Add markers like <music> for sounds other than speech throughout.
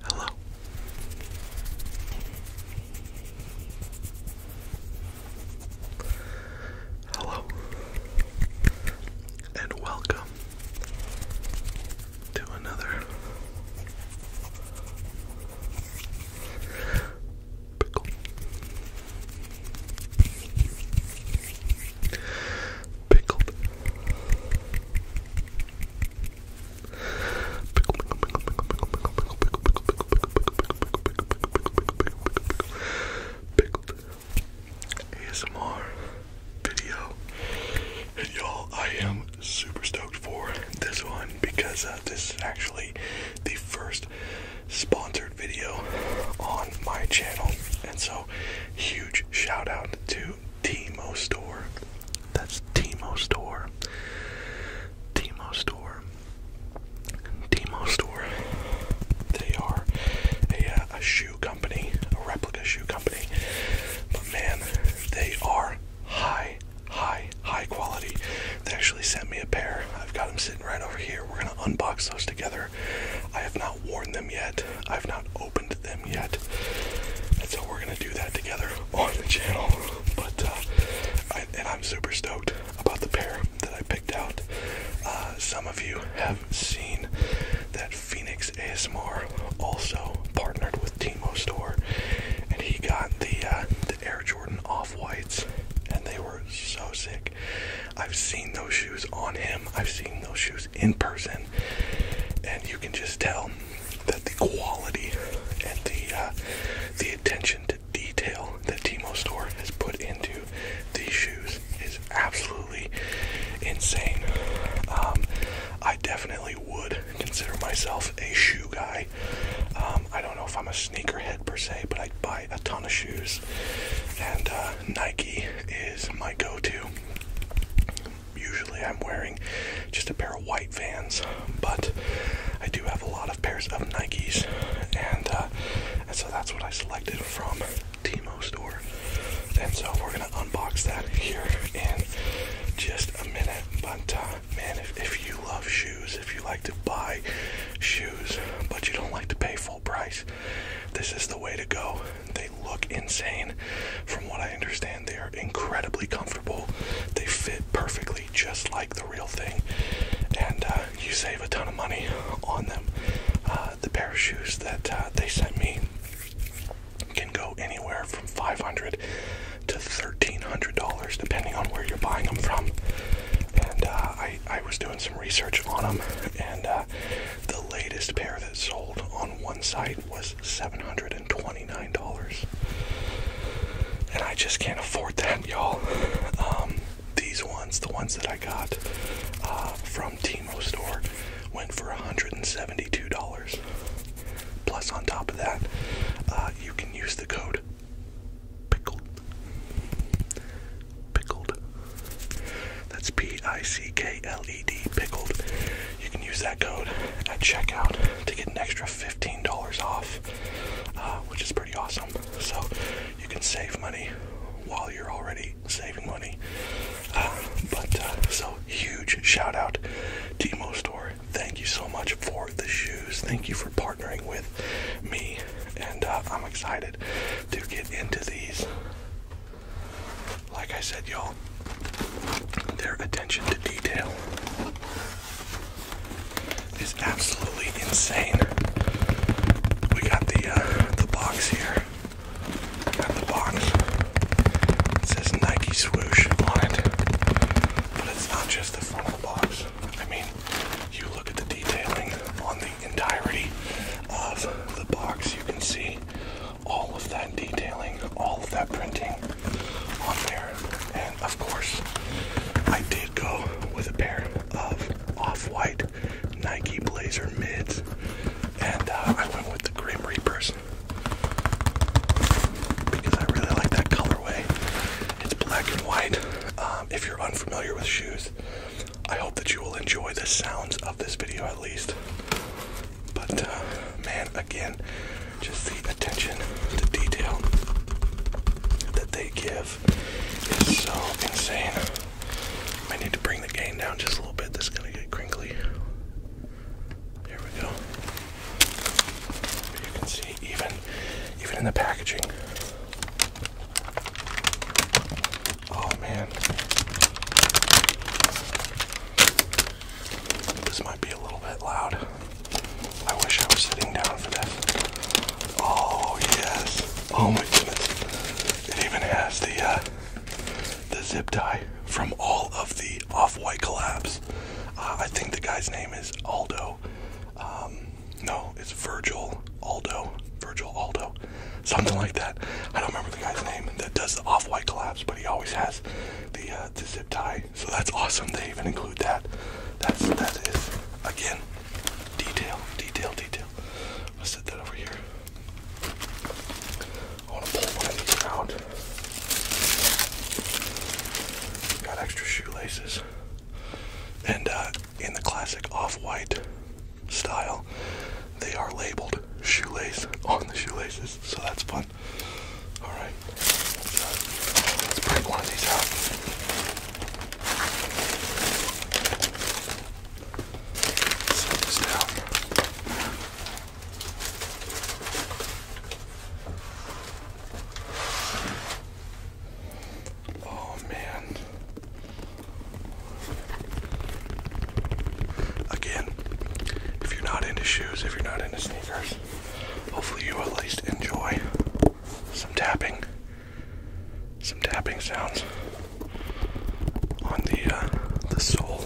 Hello. Hello. And welcome to another pickle. Pickled ASMR video. And y'all, I am super stoked for this one because uh, this is actually the first sponsored video on my channel. And so, huge shout out to Timo store. That's Timo store. Timo store. Timo store. They are a, uh, a shoe company, a replica shoe company. But man, they are high, high, high quality. They actually sent me a pair. I've got them sitting right over here. We're gonna unbox those together. I have not worn them yet. I've not opened them yet. And so we're gonna do that together on the channel. But uh, and I'm super stoked about the pair that I picked out. Uh, some of you have seen that Phoenix ASMR also partnered with Timo Store, and he got the uh, the Air Jordan Off Whites, and they were so sick. I've seen those shoes on him. I've seen those shoes in person, and you can just tell that the quality and the uh, the attention to detail that Timo Store has put into these shoes is absolutely insane. Um, I definitely would consider myself a shoe guy. Um, I don't know if I'm a sneakerhead per se, but I buy a ton of shoes, and uh, Nike is my go-to usually I'm wearing just a pair of white Vans, but I do have a lot of pairs of Nikes, uh, and so that's what I selected from Timo store. And so we're gonna unbox that here in just a minute. But uh, man, if you love shoes, if you like to buy shoes, but you don't like to pay full price, this is the way to go. They look insane, from what I understand and they are incredibly comfortable. They fit perfectly just like the real thing, and uh, you save a ton of money on them. Uh, the pair of shoes that uh, they sent me can go anywhere from 500 to $1,300 depending on where you're buying them from. And I, was doing some research on them, and the latest pair that sold on one site was $729. And I just can't afford that, y'all. Um, these ones, the ones that I got uh, from Timo store, went for $172. Plus, on top of that, uh, you can use the code pickled. Pickled. That's P I C K L E D, pickled you can use that code at checkout to get an extra $15 off, uh, which is pretty awesome. So you can save money while you're already saving money. Uh, but uh, so huge shout out Demo Store. Thank you so much for the shoes. Thank you for partnering with me, and I'm excited to get into these. Like I said, y'all, their attention to detail is absolutely insane. We got the uh, the box here. Got the box. It says Nike swoosh on it, but it's not just the front of the box. I mean, you look at the detailing on the entirety of the box. You can see all of that detailing, all of that printing. And of course, I did go with a pair of off-white Nike Blazer mids, and uh, I went with the Grim Reapers because I really like that colorway. It's black and white. Um, if you're unfamiliar with shoes, I hope that you will enjoy the sounds of this video at least. But uh, man, again, just the attention to detail that they give is so insane. I need to bring the gain down just a little bit. This is gonna get crinkly. There we go. You can see even even in the packaging. Oh man. This might be a little bit loud. I wish I was sitting down for this. Oh yes. Oh my goodness. It even has the uh, the zip tie from all of the off-white collabs. Uh, I think the guy's name is Aldo. Um, no, it's Virgil Aldo. Virgil Aldo. Something like that. I don't remember the guy's name that does the off-white collabs, but he always has the uh, the zip tie so that's awesome. They even include that. That's that is again detail, detail, detail. Let's set that over here. I want to pull one of these out. Got extra shoelaces. And uh, in the classic off-white style, they are labeled shoelace on the shoelaces, so that's fun. Alright, let's break one of these out. Set this down. Oh man. Again, if you're not into shoes, if you're not into sneakers, Hopefully, you at least enjoy some tapping, some tapping sounds on the uh, the sole.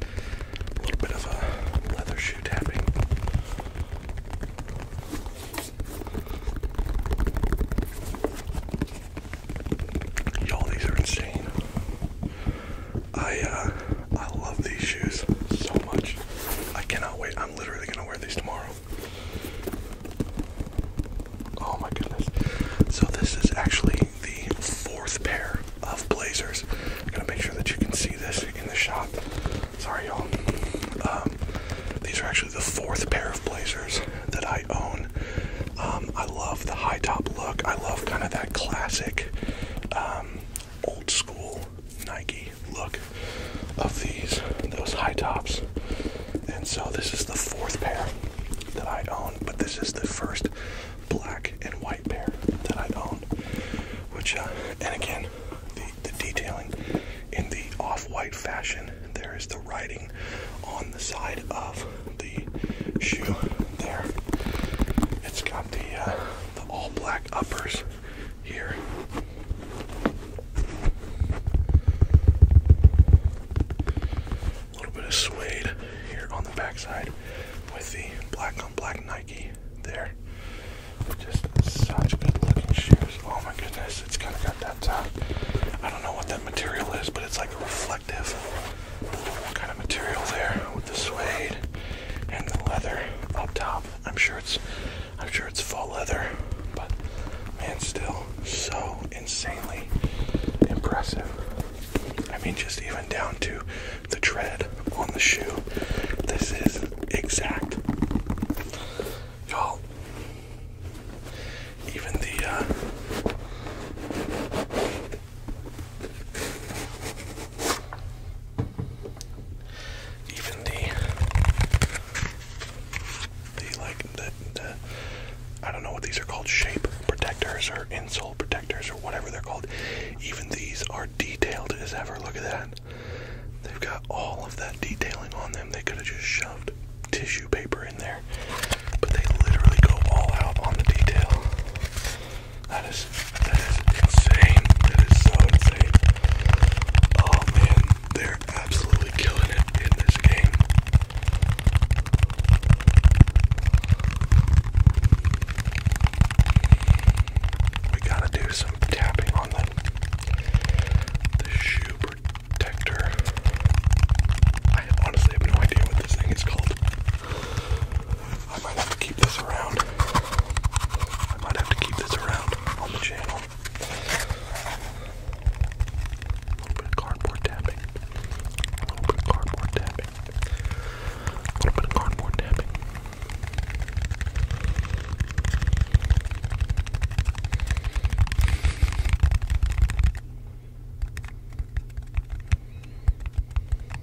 A little bit of a leather shoe tapping. Y'all, these are insane. I uh, I love these shoes so much. I cannot wait. I'm literally gonna wear these tomorrow. Oh my goodness. So this is actually the fourth pair of blazers. I'm gonna make sure that you can see this in the shot. Sorry y'all. Um, these are actually the fourth pair of blazers that I own. Um, I love the high top look. I love kind of that classic um, old school Nike look of these, those high tops. And so this is the fourth pair that I own, but this is the first black and white pair that I own. Which, uh, and again, the, the detailing in the off-white fashion. There is the writing on the side of the shoe. There, it's got the uh, the all-black uppers here. A little bit of suede here on the backside with the black on black Nike there. Just such good looking shoes. Oh my goodness, it's kind of got that, uh, I don't know what that material is, but it's like a reflective kind of material there with the suede and the leather up top. I'm sure it's I'm sure it's full leather, but man still so insanely impressive. I mean just even down to the tread on the shoe. This is exact. Y'all even the uh, even the the like the I don't know what these are called shape protectors or insole protectors or whatever they're called. Even these are detailed as ever. Look at that. They've got all of that detailing on them. They could have just shoved tissue paper in there, but they literally go all out on the detail. That is that is insane. That is so insane. Oh man, they're absolutely killing it in this game. We gotta do some tapping on the the shoe protector. I honestly have no idea what this thing is called. I might have to keep this around. I might have to keep this around on the channel. A little bit of cardboard tapping. A little bit of cardboard tapping. A little bit of cardboard tapping.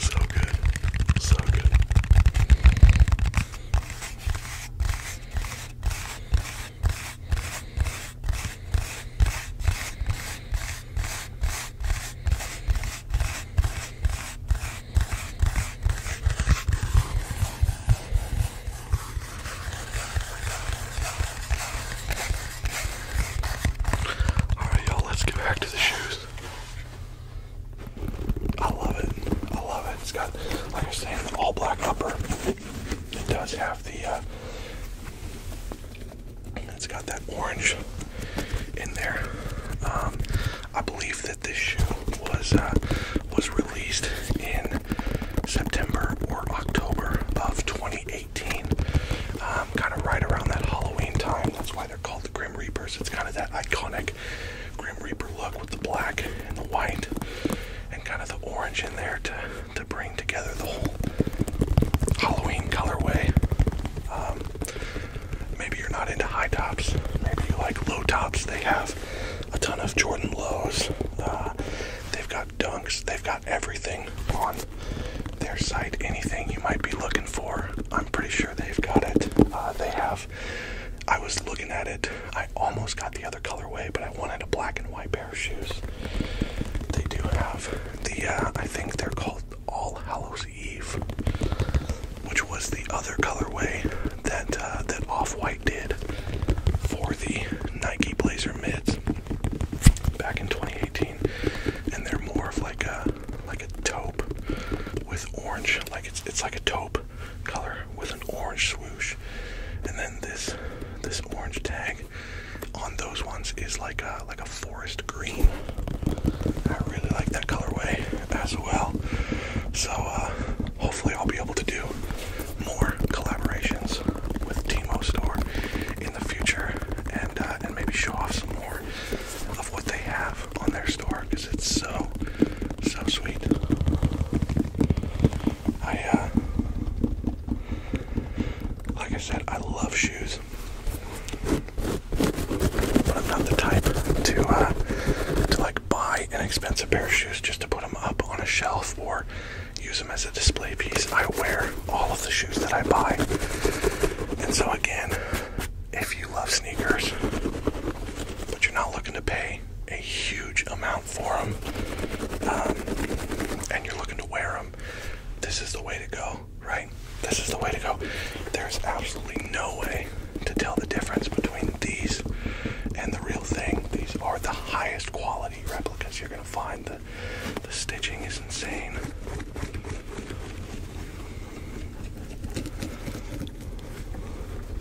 So good, so good. Alright, y'all, let's get back to the shoes. I love it. I love it. It's got, like I was all black upper. It does have the, uh, it's got that orange in there. Um, I believe that this shoe was uh, was released in September or October of 2018, um, kind of right around that Halloween time. That's why they're called the Grim Reapers. It's kind of that iconic Grim Reaper look with the black and the white and kind of the orange in there to to bring together the whole Halloween colorway. Um, maybe you're not into high tops. Maybe you like low tops. They have a ton of Jordan lows. Uh, they've got dunks. They've got everything on their site. Anything you might be looking for, I'm pretty sure they've got it. Uh, they have. I was looking at it. I almost got the other colorway, but I wanted a black and white pair of shoes. They do have the, uh, I think they're called All Hallows Eve, which was the other colorway that uh, that Off White did for the Nike Blazer mids back in 2018, and they're more of like a like a taupe with orange, like it's it's like a taupe color with an orange swoosh, and then this this orange tag on those ones is like a like a forest green. I really like that colorway as well. So uh, hopefully I'll be able to do more collaborations with Timo Store in the future, and uh, and maybe show off some more of what they have on their store because it's so so sweet. I, uh, like I said, I love shoes, but I'm not the type to, uh, to like buy an expensive pair of shoes just to put them up on a shelf or use them as a display piece. I wear all of the shoes that I buy, and so again, if you love sneakers, but you're not looking to pay a huge amount for them, um, and you're looking to wear them, this is the way to go, right? This is the way to go. There's absolutely no way to tell the difference between these and the real thing. These are the highest quality replicas you're going to find. The, the stitching is insane. <laughs>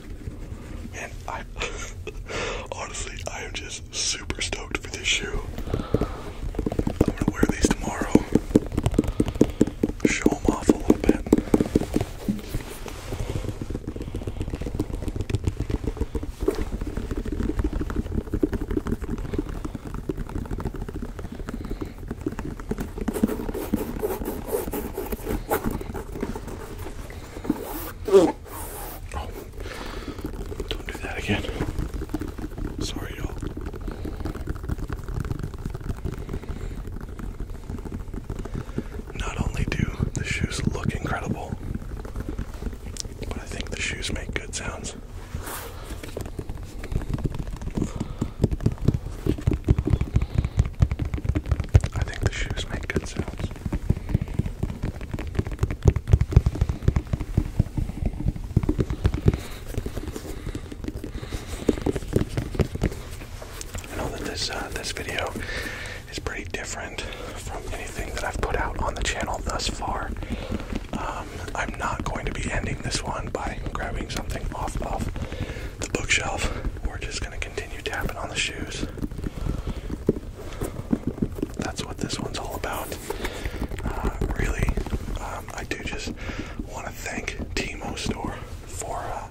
honestly I am just super stoked for this shoe. I'm gonna wear these tomorrow. Show them off a little bit don't do that again. Sorry, y'all. Not only do the shoes look incredible, but I think the shoes make good sounds. I think the shoes make good sounds. I know that this uh, this video is pretty different from anything that I've put out on the channel thus far. Um, I'm not going to be ending this one by grabbing something off of the bookshelf. We're just going to continue tapping on the shoes that's what this one's all about. Uh, really, um, I do just want to thank Timo Store for uh,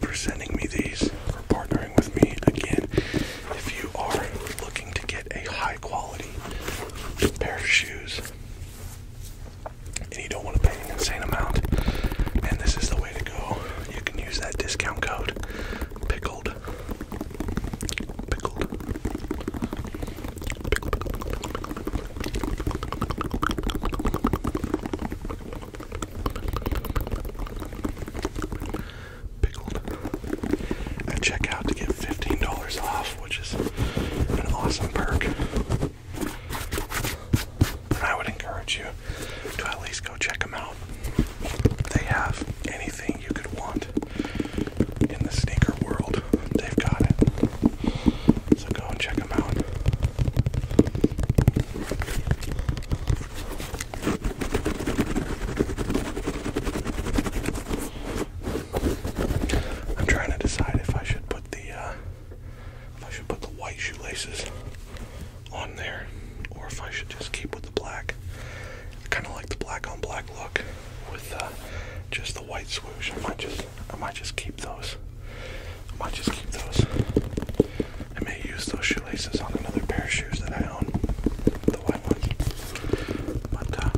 for sending me these, for partnering with me again. If you are looking to get a high quality pair of shoes and you don't want to pay an insane amount, and this is the way to go. You can use that discount code pickled Pickled. Pickle, pickle, pickle, pickle. to get $15 off, which is an awesome perk. And I would encourage you to at least go check them out. They have anything you could want in the sneaker world. They've got it. So go and check them out. I'm trying to decide if I should put the uh, if I should put the white shoelaces on there, or if I should just keep with the black kind of like the black on black look with uh, just the white swoosh. I might just, I might just keep those. I might just keep those. I may use those shoelaces on another pair of shoes that I own, the white ones. But uh,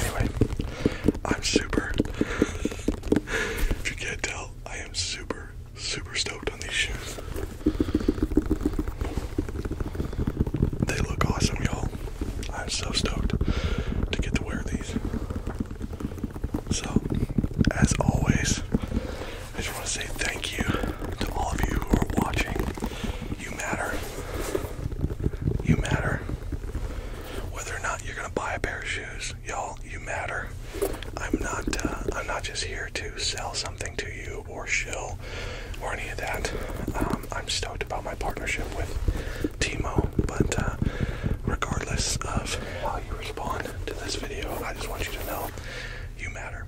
anyway, I'm super. if you can't tell, I am super, super stoked on these shoes. They look awesome, y'all. I'm so stoked to get to wear these. So, as always, I just want to say thank you to all of you who are watching. You matter. You matter. Whether or not you're gonna buy a pair of shoes, y'all, you matter. I'm not. Uh, I'm not just here to sell something to you or Shill or any of that. Um, I'm stoked about my partnership with Timo, but uh, regardless of how you respond to this video, I just want you to know you matter,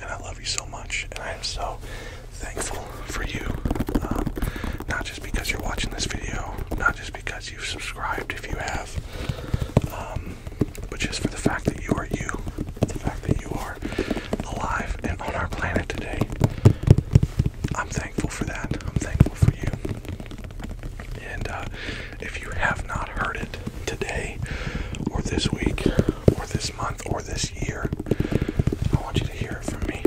and I love you so much, and I am so thankful for you. Um, not just because you're watching this video, not just because you've subscribed if you have, um, but just for the fact that you are you, the fact that you are alive and on our planet today. I'm thankful for that. I'm thankful for you. And uh, if you have not heard it today, or this week, or this month, or this year, I want you to hear it from me.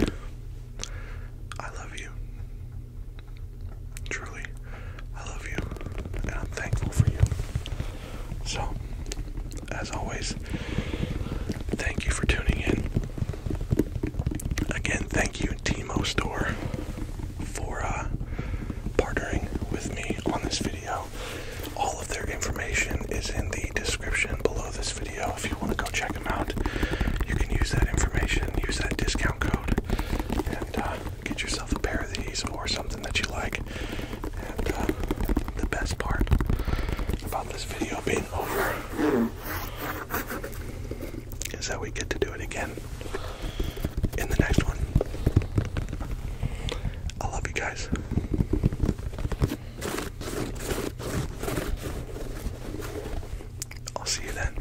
I love you. Truly, I love you. And I'm thankful for you. So, as always, thank you for tuning in. Again, thank you, Timo Store, for uh, partnering with me on this video. All of their information is in the description below this video. If you want to go check them out, you can use that information, use that discount code, and uh, get yourself a pair of these or something that you like. Uh, the best part about this video being over is that we get to do it again in the next one. I love you guys. I'll see you then.